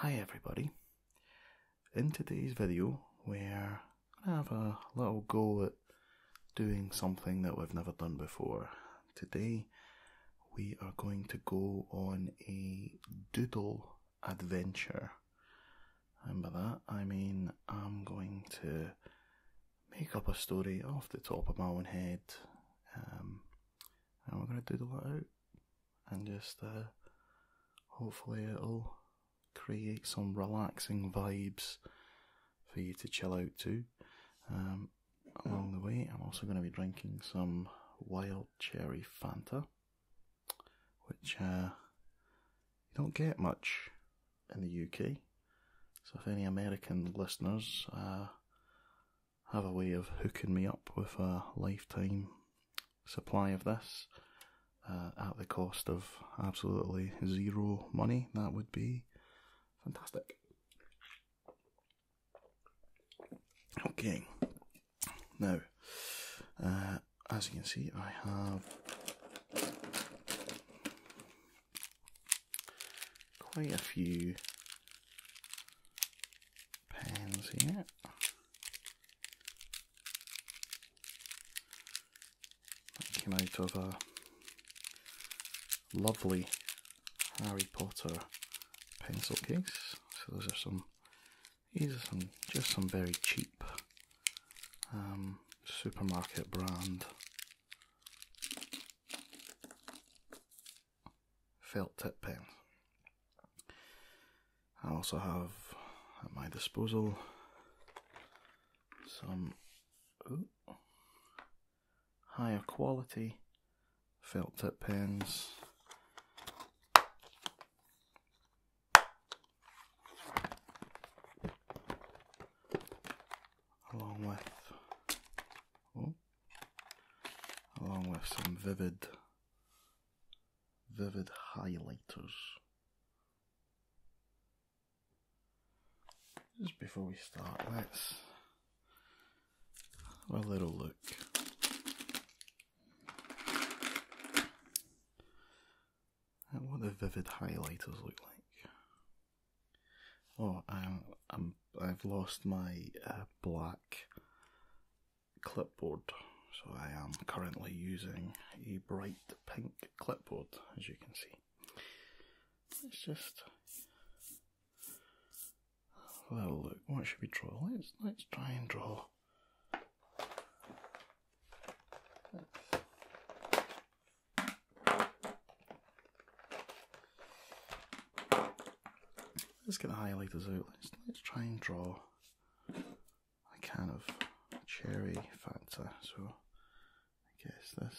Hi everybody. In today's video we're gonna have a little go at doing something that we've never done before. Today we are going to go on a doodle adventure. And by that I mean I'm going to make up a story off the top of my own head um, and we're going to doodle it out and just uh, hopefully it'll create some relaxing vibes for you to chill out to. Um, along the way, I'm also going to be drinking some wild cherry Fanta, which uh, you don't get much in the UK. So, if any American listeners uh, have a way of hooking me up with a lifetime supply of this uh, at the cost of absolutely zero money, that would be fantastic. Okay, now, uh, as you can see, I have quite a few pans here. That came out of a lovely Harry Potter pencil case. So those are some, these are some, just some very cheap um, supermarket brand felt tip pens. I also have at my disposal some higher quality felt tip pens. Along with along with some vivid, vivid highlighters. Just before we start, let's have a little look. at what the vivid highlighters look like. Oh, um, I'm I'm I've lost my uh, black clipboard, so I am currently using a bright pink clipboard, as you can see. It's just a look. What should we draw? Let's let's try and draw let's get the highlighters out. Let's, try and draw a kind of cherry factor. So I guess this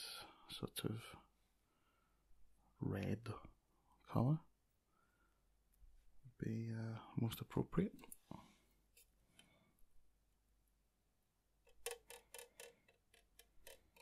sort of red colour would be uh, most appropriate.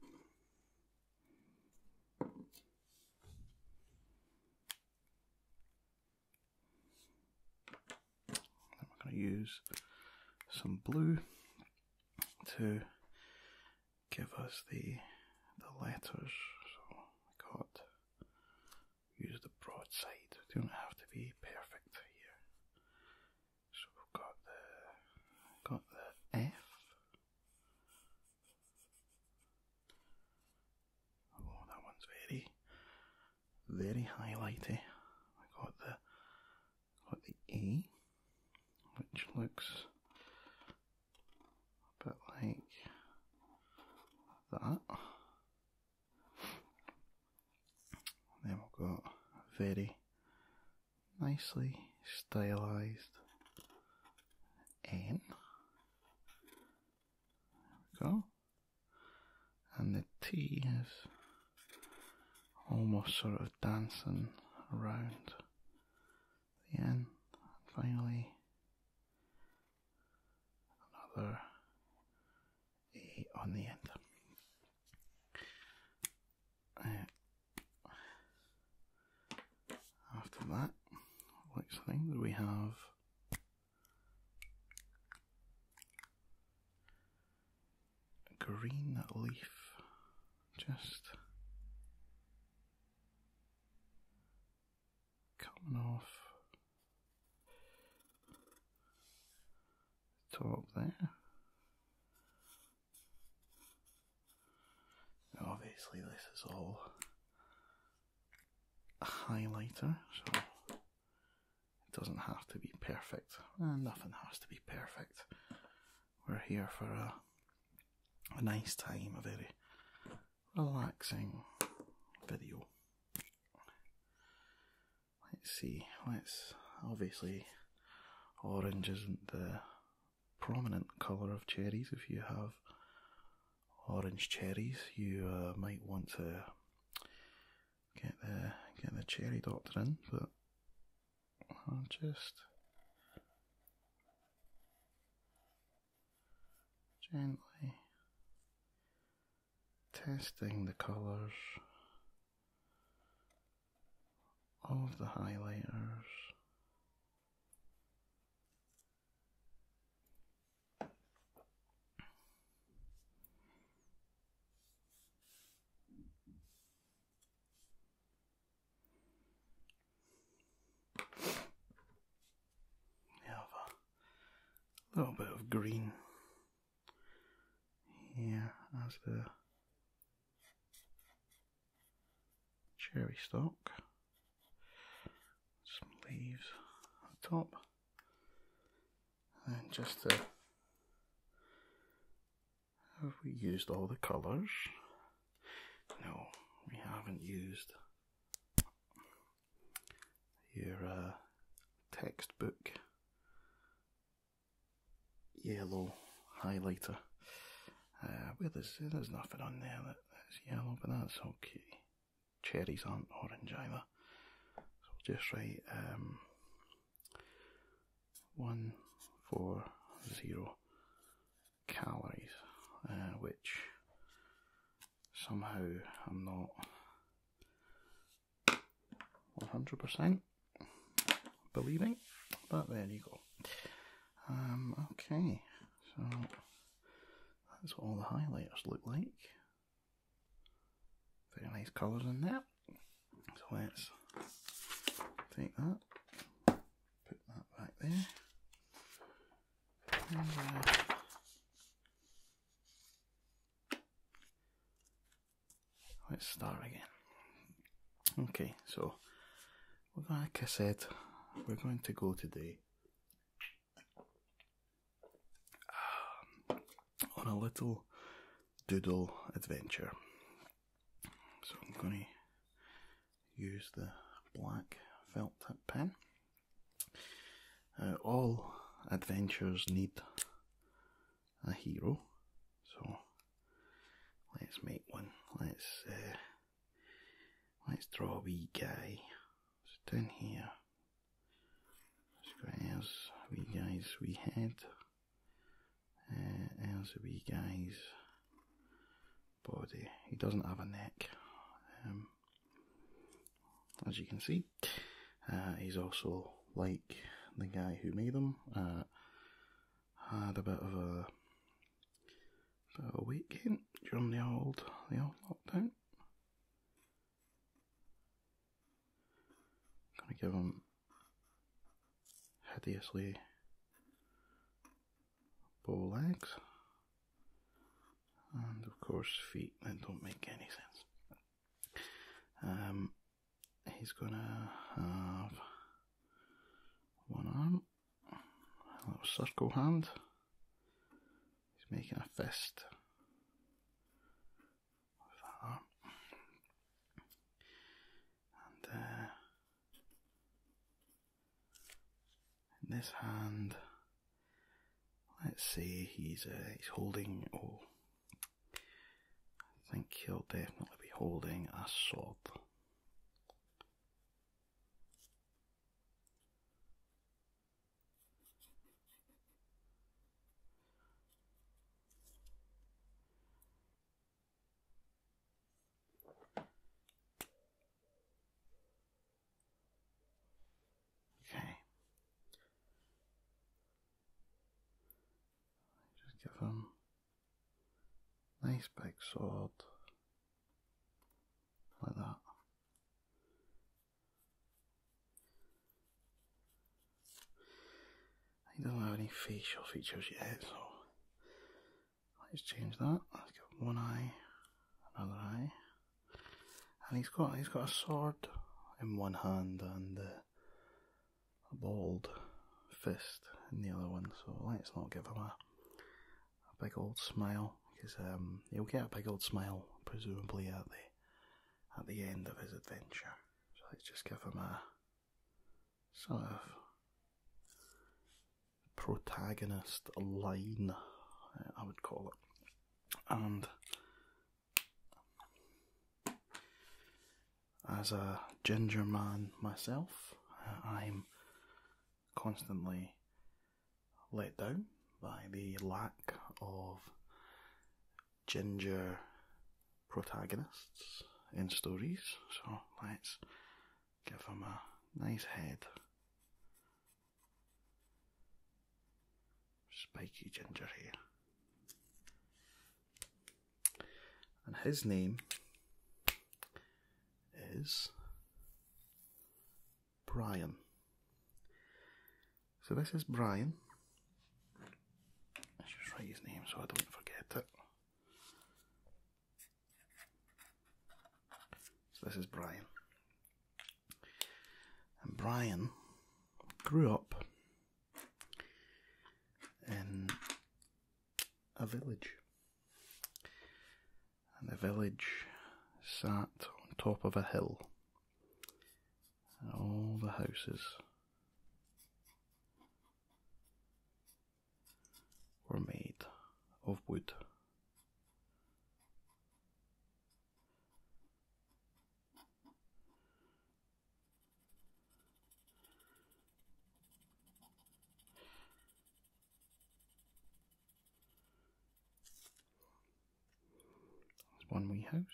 Then we going to use some blue to give us the the letters. So we got use the broadside. We don't have to be perfect here. So we've got the got the F. Oh, that one's very, very highlighty. I got the got the E, which looks a bit like that. And then we've got very nicely stylized N. There we go. And the T is almost sort of dancing around the N. And finally, another A on the end after that, next thing we have green leaf, just coming off the top there obviously this is all a highlighter, so it doesn't have to be perfect. Eh, nothing has to be perfect. We're here for a, a nice time, a very relaxing video. Let's see, let's obviously Orange isn't the prominent colour of cherries. If you have orange cherries, you uh, might want to get the get the cherry doctor in, but I'll just gently testing the colours of the highlighters. Have a little bit of green here as the cherry stock, some leaves on the top, and just have we used all the colours? No, we haven't used your uh, textbook yellow highlighter. Uh, where there's, nothing on there that's yellow, but that's okay. Cherries aren't orange either. So just write um, 140 calories, uh, which somehow I'm not 100% believing, but there you go. Um, okay, so that's what all the highlighters look like. Very nice colours in there. So let's take that, put that back there. Uh, Let's start again. Okay, so like I said, we're going to go today um, on a little doodle adventure. So I'm going to use the black felt pen. Uh, all adventures need a hero. So let's make one. Let's uh, let's draw a wee guy. Sit in here. as wee guys, We head. as uh, there's wee guy's body. He doesn't have a neck. Um, as you can see, uh, he's also like the guy who made them. Uh, had a bit of a, bit of a weight gain during the old the old lockdown. Gonna give him hideously bow legs, and of course feet that don't make any sense. Um, he's gonna have one arm, a little circle hand. He's making a fist with that arm. And uh, in this hand, let's see, he's uh, he's holding oh I think he'll definitely be holding a sword. Okay. Just give him nice big sword like that. He doesn't have any facial features yet, so let's change that. Let's give one eye, another eye, and he's got he's got a sword in one hand and. Uh, a bald fist in the other one, so let's not give him a, a big old smile, because um, he'll get a big old smile presumably at the at the end of his adventure. So let's just give him a sort of protagonist line, I would call it, and as a ginger man myself, I'm constantly let down by the lack of ginger protagonists in stories, so let's give him a nice head. Spiky ginger hair and his name is Brian. So this is Brian. Let's just write his name so I don't forget it. So this is Brian. And Brian grew up in a village. And the village sat on top of a hill, all the houses were made of wood. There's one wee house.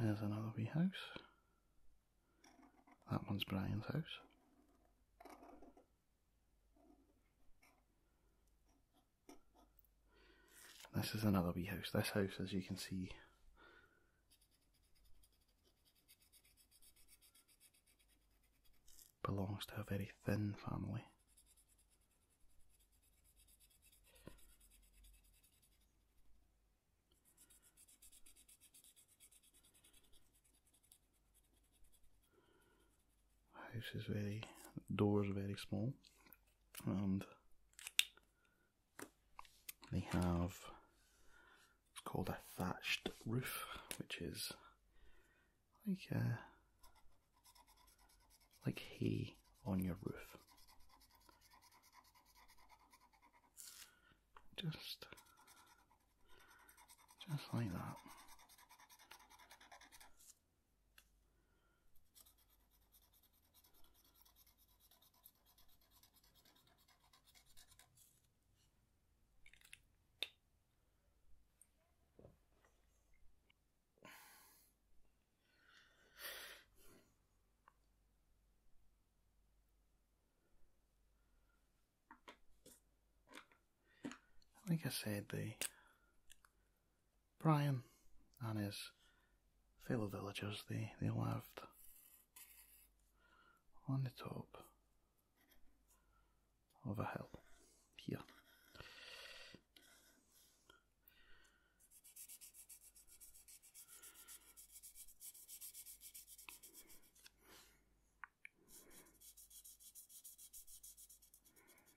There's another wee house. That one's Brian's house. This is another bee house. This house, as you can see, belongs to a very thin family house is very doors very small and they have it's called a thatched roof which is like a, uh, like hay on your roof just just like that like I said, the Brian and his fellow villagers, they, they lived on the top of a hill here.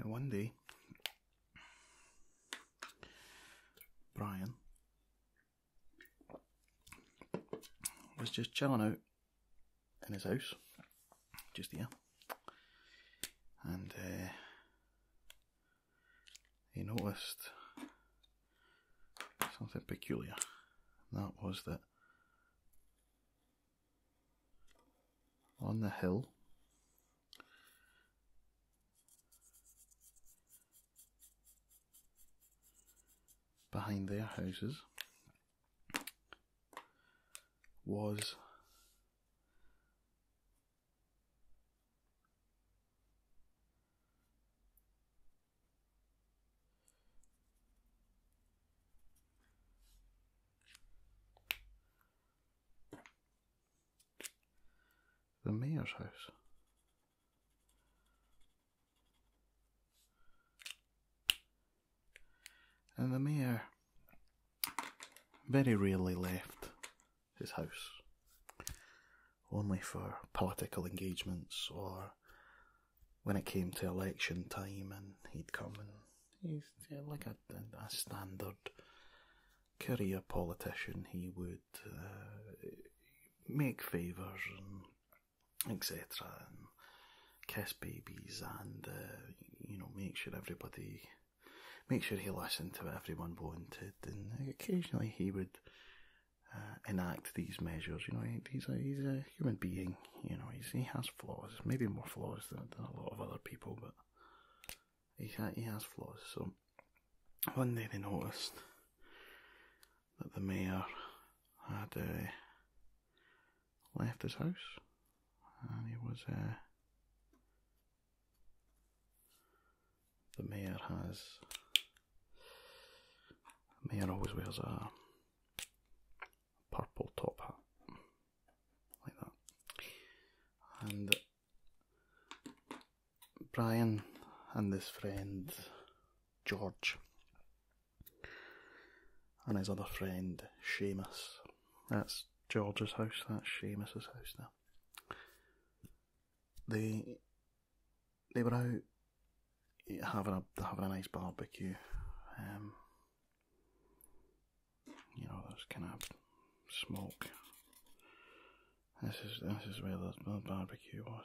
And one day, Brian was just chilling out in his house, just there, and uh, he noticed something peculiar. That was that on the hill behind their houses was the mayor's house. And the mayor very rarely left his house only for political engagements or when it came to election time and he'd come and he's yeah, like a, a, standard career politician he would uh, make favours and etc and kiss babies and uh, you know make sure everybody make sure he listened to everyone wanted and occasionally he would uh, enact these measures. You know, he's a he's a human being. You know, he's, he has flaws, maybe more flaws than, than a lot of other people, but he he has flaws. So one day they noticed that the mayor had uh, left his house, and he was. Uh, the mayor has a man always wears a purple top hat, like that. And Brian and his friend George and his other friend Seamus. That's George's house, that's Seamus's house now. They they were out having a having a nice barbecue. Um, you know, there's kind of smoke. This is this is where the, barbecue was.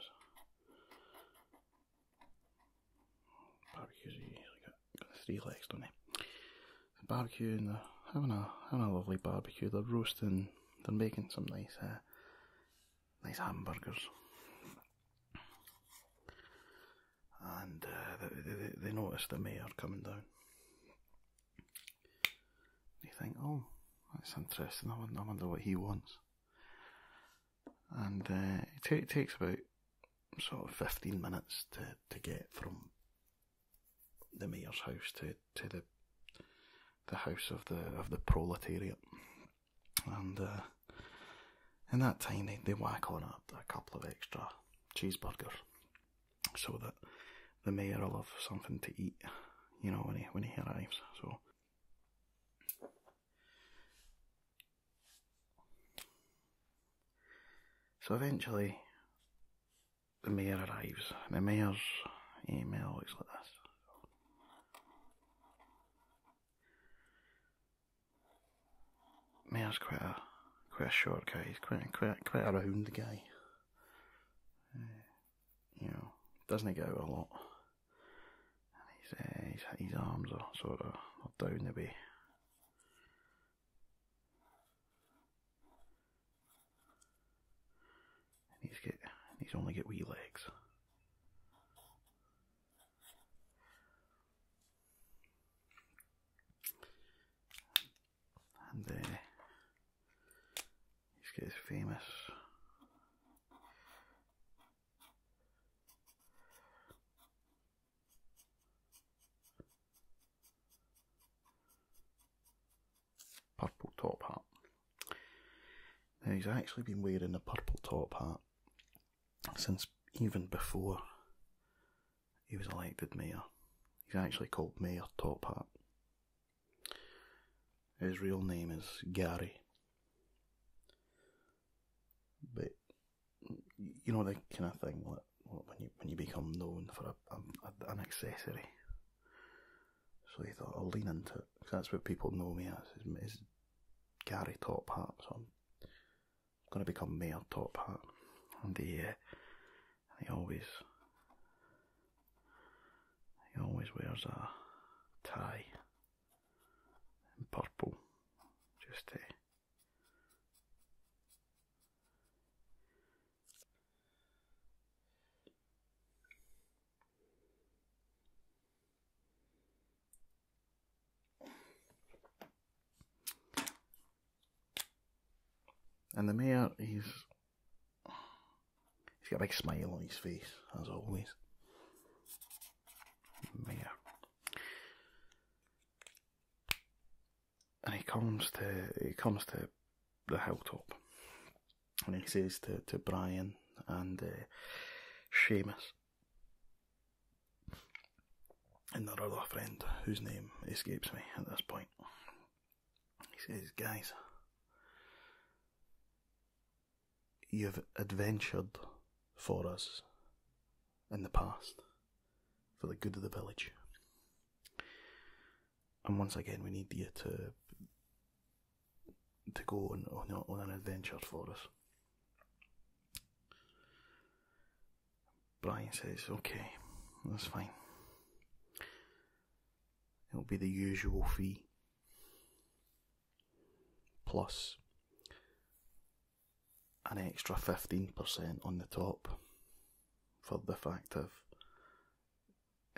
Barbecues got, three legs, don't they? barbecue and they're having a having a lovely barbecue. They're roasting. They're making some nice uh, nice hamburgers. And uh, they, they, they notice the mayor coming down. They think, oh, that's interesting, I wonder, what he wants. And uh, it, t- takes about sort of 15 minutes to, to get from the mayor's house to, to the the house of the of the proletariat, and uh, in that time they, they whack on a, a couple of extra cheeseburgers, so that the mayor will have something to eat, you know, when he when he arrives. So. So eventually, the mayor arrives. The mayor's email is like this. Miles quite a quite a short guy. He's quite quite quite a round guy. Uh, you know, doesn't get out a lot. And his, uh, his arms are sort of down the way. He's get these only get wee legs. And uh, he his famous purple top hat. Now he's actually been wearing a purple top hat since even before he was elected mayor. He's actually called Mayor Top Hat. His real name is Gary. But you know the kind of thing when you when you become known for an accessory so he thought, I'll lean into it, because that's what people know me as, is, Gary Top Hat, so I'm going to become Mayor Top Hat. And he, uh, he always, he always wears a tie in purple, just to... Uh, and the mayor, he's he's got a big smile on his face, as always. Mayor. And he comes to he comes to the hilltop and he says to, to Brian and uh, Seamus and their other friend, whose name escapes me at this point. He says, Guys, you've adventured for us in the past for the good of the village and once again we need you to to go on on an adventure for us. Brian says, "Okay, that's fine. It'll be the usual fee plus an extra fifteen percent on the top for the fact of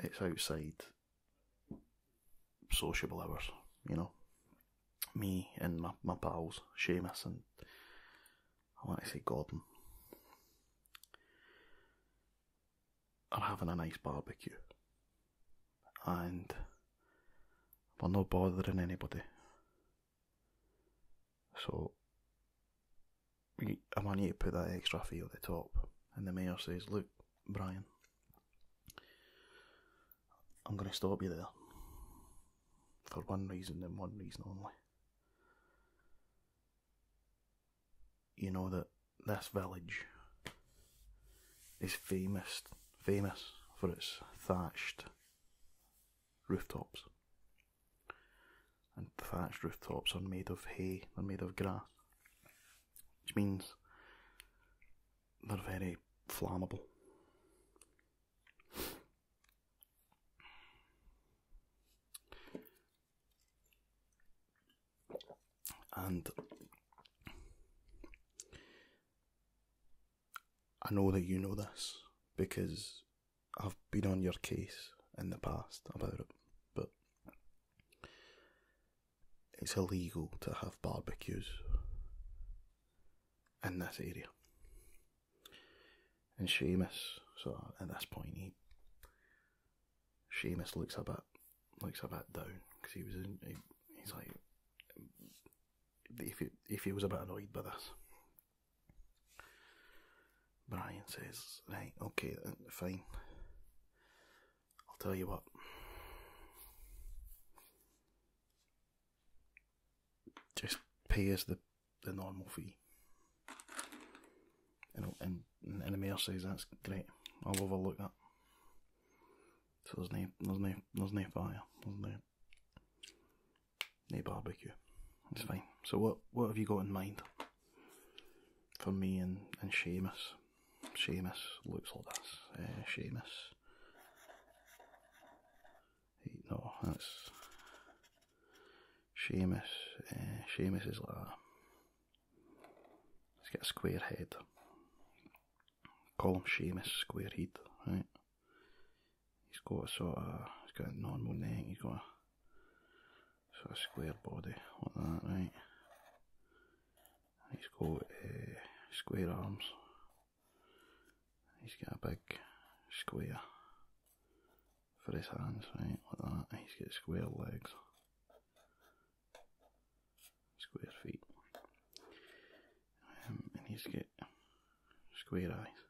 it's outside sociable hours, you know. Me and my, my pals, Seamus and I want to say Gordon, are having a nice barbecue. And we're not bothering anybody. So, I want you to put that extra fee at the top. And the mayor says, look, Brian. I'm going to stop you there. For one reason and one reason only. You know that this village is famous, famous for its thatched rooftops. And thatched rooftops are made of hay, they're made of grass which means they're very flammable. And I know that you know this because I've been on your case in the past about it, but it's illegal to have barbecues in that area. And Sheamus, so at this point, Sheamus looks a bit looks a bit down because he was he's like if he, if he was a bit annoyed by this. Brian says, Right, okay, fine. I'll tell you what. Just pay us the, the normal fee. And, and, and the mayor says, That's great. I'll overlook that. So there's no, there's no, there's no fire. There's no, barbecue. It's fine. So what, what have you got in mind? for me and, and Seamus. Seamus looks like this. Uh, Seamus. He, no, that's Seamus. Uh, is like that. He's got a square head. Call him Seamus Square Head, right? He's got a sort of, he's got a normal name. he's got so a square body like that, right? He's got uh, square arms. He's got a big square for his hands, right? Like that. He's got square legs, square feet, um, and he's got square eyes.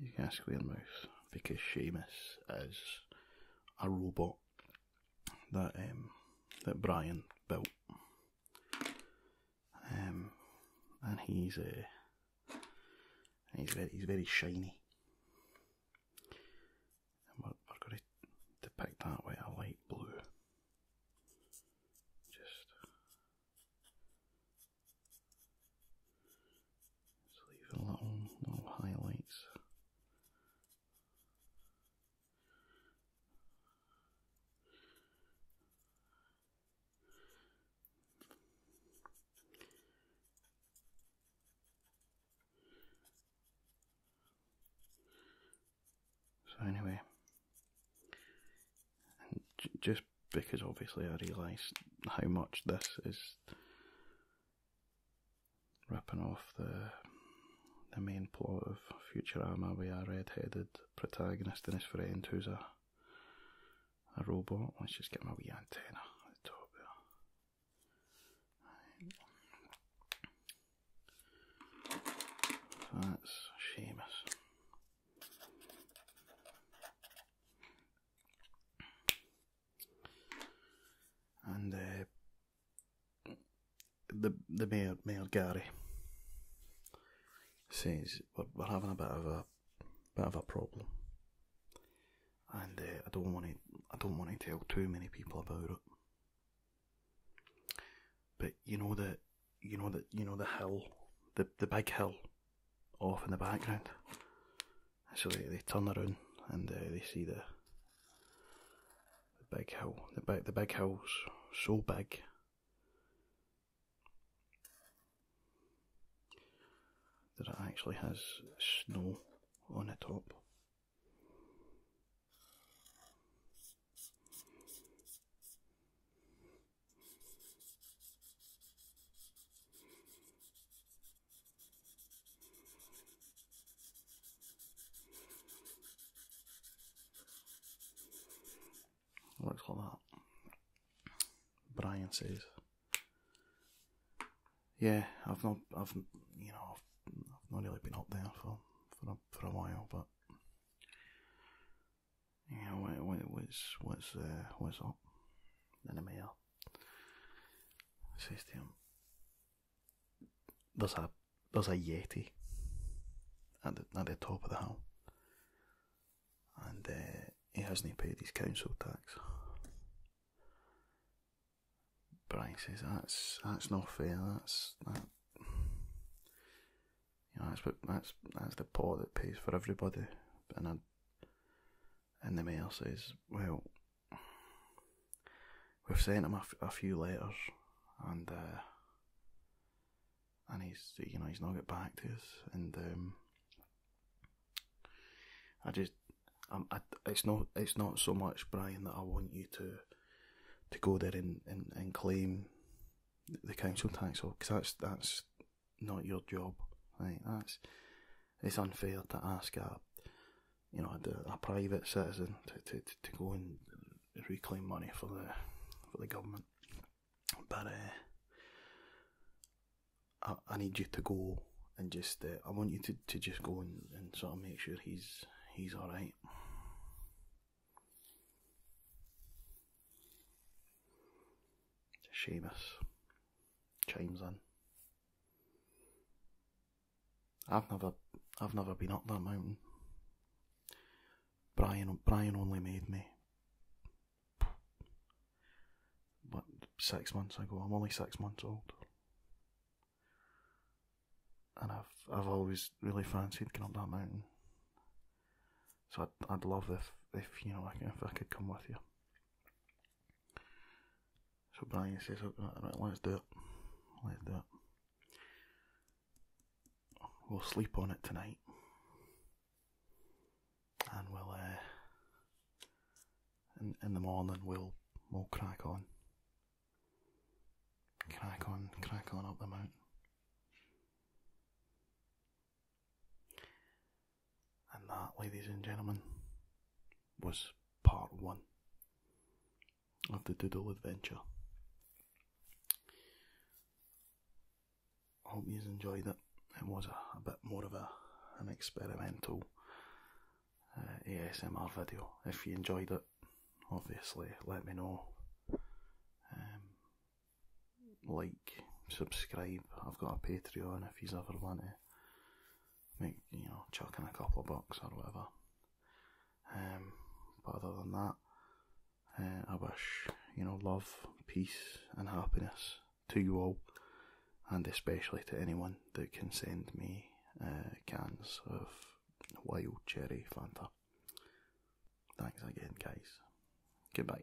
He's got square mouth because Seamus is a robot that um, that Brian built, um, and he's uh, he's very he's very shiny. And we're, to depict that with a light blue. Just so leave it alone, no highlights. So anyway, just because obviously I realised how much this is ripping off the the main plot of Futurama with a red-headed protagonist and his friend who's a a robot. Let's just get my wee antenna at the top there. That's Seamus and uh, the the mayor, mayor Gary says we're, we're having a bit of a bit of a problem, and uh, I don't want to I don't want to tell too many people about it. But you know that you know that you know the hill, the the big hill, off in the background. So they, turn around and uh, they see the, the big hill. The big the big hill's so big. That it actually has snow on the top. What do that? Brian says, "Yeah, I've not, I've, you know, I've, not really been up there for for a, for a while, but yeah, know, what, what, what's what's uh, what's up?" And the mayor System. There's a there's a Yeti at the at the top of the hill, and uh, he hasn't paid his council tax. Brian says that's that's not fair. That's that. You know, that's what that's that's the pot that pays for everybody, and I and the mayor says, Well, we've sent him a few letters, and uh, and he's you know he's not got back to us, and um, I just um, I, it's not it's not so much Brian that I want you to to go there and, and, and claim the council tax because that's that's not your job. Right? That's it's unfair to ask a you know a, private citizen to, to, to go and reclaim money for the for the government. But uh, I, I need you to go and just uh, I want you to, to just go and, and sort of make sure he's he's all right. Seamus chimes in. I've never, I've never been up that mountain. Brian, Brian only made me. What six months ago? I'm only six months old, and I've, I've always really fancied going up that mountain. So I'd, I'd love if, if you know, if I could come with you. So Brian says, right, let's do it. Let's do it. We'll sleep on it tonight. And we'll, uh, in, in the morning, we'll, we'll crack on. Crack on, crack on up the mountain. And that, ladies and gentlemen, was part one of the Doodle Adventure. I hope you enjoyed it. It was a, bit more of a an experimental uh, ASMR video. If you enjoyed it, obviously let me know. Um, like, subscribe. I've got a Patreon if you have ever wanted make you know, chucking a couple of bucks or whatever. Um, but other than that, uh, I wish you know love, peace, and happiness to you all, and especially to anyone that can send me uh, cans of wild cherry Fanta. Thanks again, guys. Goodbye.